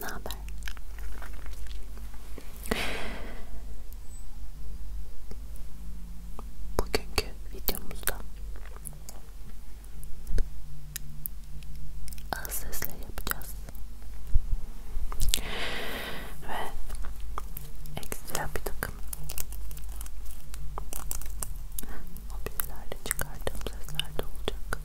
Ne haber? Bugünkü videomuzda az sesle yapacağız ve ekstra bir takım mobilyalarla çıkardığım sesler de olacak.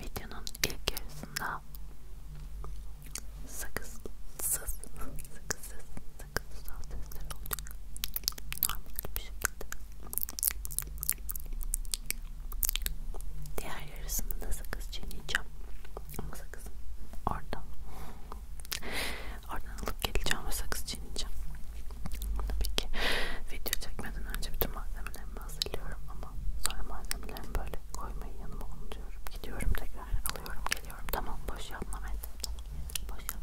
Videonun ilk yarısında sakızsız sakızsız sakızsız sal sesler olacak normal bir şekilde diğer yarısını da sakız çiğneyeceğim ama sakızım oradan oradan alıp geleceğim ve sakız çiğneyeceğim tabii ki video çekmeden önce bütün malzemelerimi hazırlıyorum ama sonra malzemelerimi böyle koymayı yanıma onu tutuyorum. Gidiyorum tekrar alıyorum geliyorum. Tamam boş yapma Meltem. Tamam boş yapma.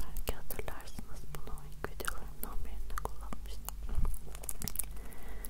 Belki hatırlarsınız bunu ilk videolarımdan birinde kullanmıştım.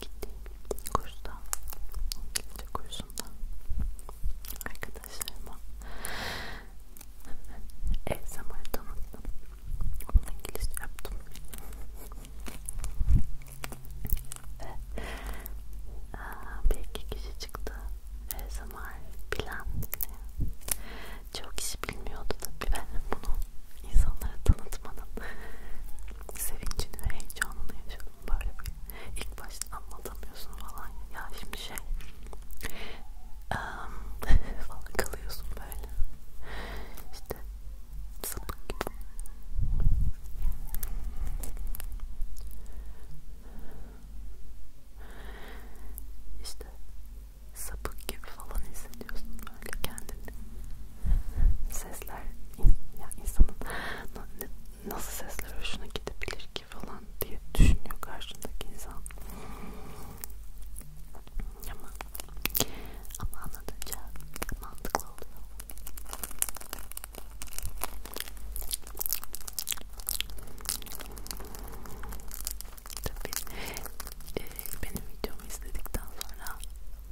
gittiğim kursta gece kursunda arkadaşlarıma ev zamanı tanıttım onunla İngilizce şey yaptım ve bir iki kişi çıktı ev zamanı bilen çok kişi bilmiyordu tabi ben bunu insanlara tanıtmanın sevincini ve heyecanını yaşadım böyle bir ilk başta anlatamıyorsun falan ya şimdi şey um, falan kalıyorsun böyle işte sapık gibi işte sapık gibi falan hissediyorsun böyle kendini sesler ya insanın nasıl sesler hoşuna gidebilir ki falan diye düşünüyor karşındaki insan ama ama anlatınca mantıklı oluyor tabii e, benim videomu izledikten sonra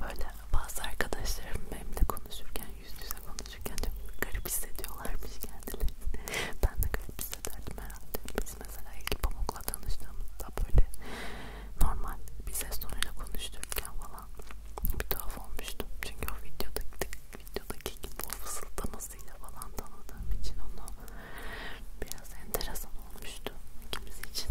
böyle bazı arkadaşlarım benimle konuşurken yüz yüze konuşurken çok garip hissediyorlarmış kendileri. ben de garip hissederdim herhalde. Biz mesela ilk pamukla tanıştığımızda böyle normal bir ses tonuyla konuştururken falan bir tuhaf olmuştum. Çünkü o videodaki, videodaki gibi o fısıldamasıyla falan tanıdığım için onu biraz enteresan olmuştu ikimiz için.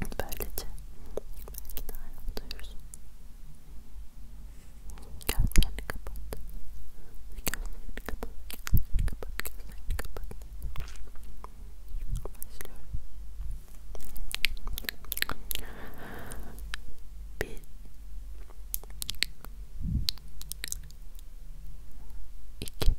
Böylece belki de hala duyursun. Gözlerini kapat. Gözlerini kapat. Gözlerini kapat. Gözlerini kapat. Başlıyorum. Bir iki üç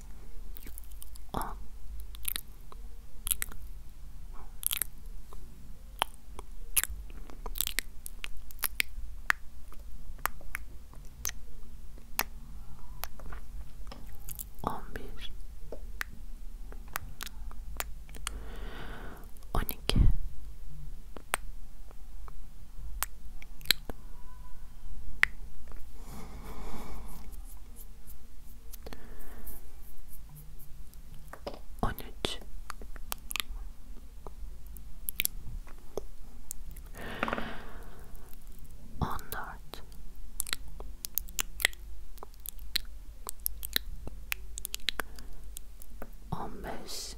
on on bir on iki on on üç on dört on beş on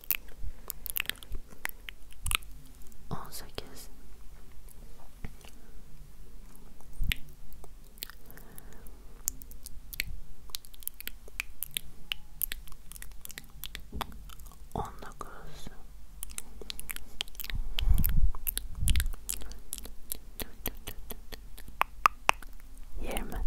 on sekiz on dokuz yirmi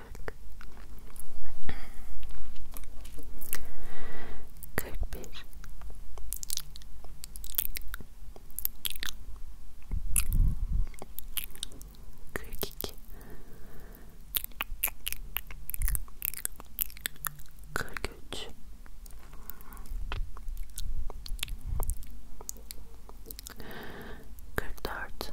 kırk kırk bir kırk iki kırk üç kırk dört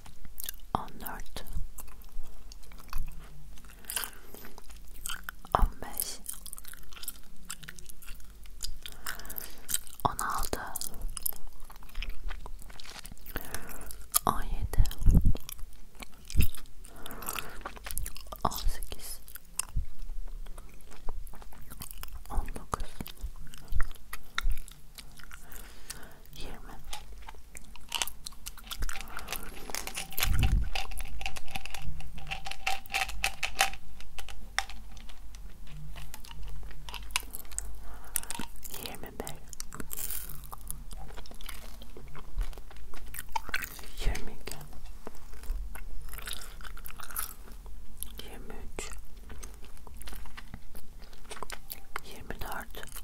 on dört on beş on altı on yedi on sekiz on dokuz on yirmi yirmi bir yirmi iki yirmi üç yirmi dört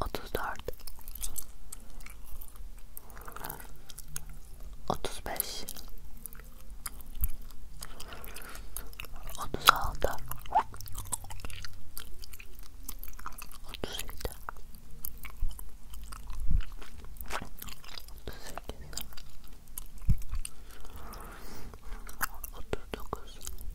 Otuz dört, otuz beş, otuz altı, otuz yedi, otuz sekiz, otuz dokuz. 39 40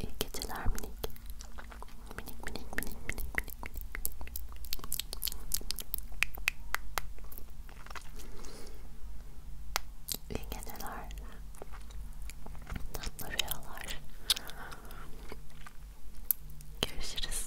İyi geceler minik. Minik minik minik minik minik minik. İyi geceler. Tatlı rüyalar. Görüşürüz.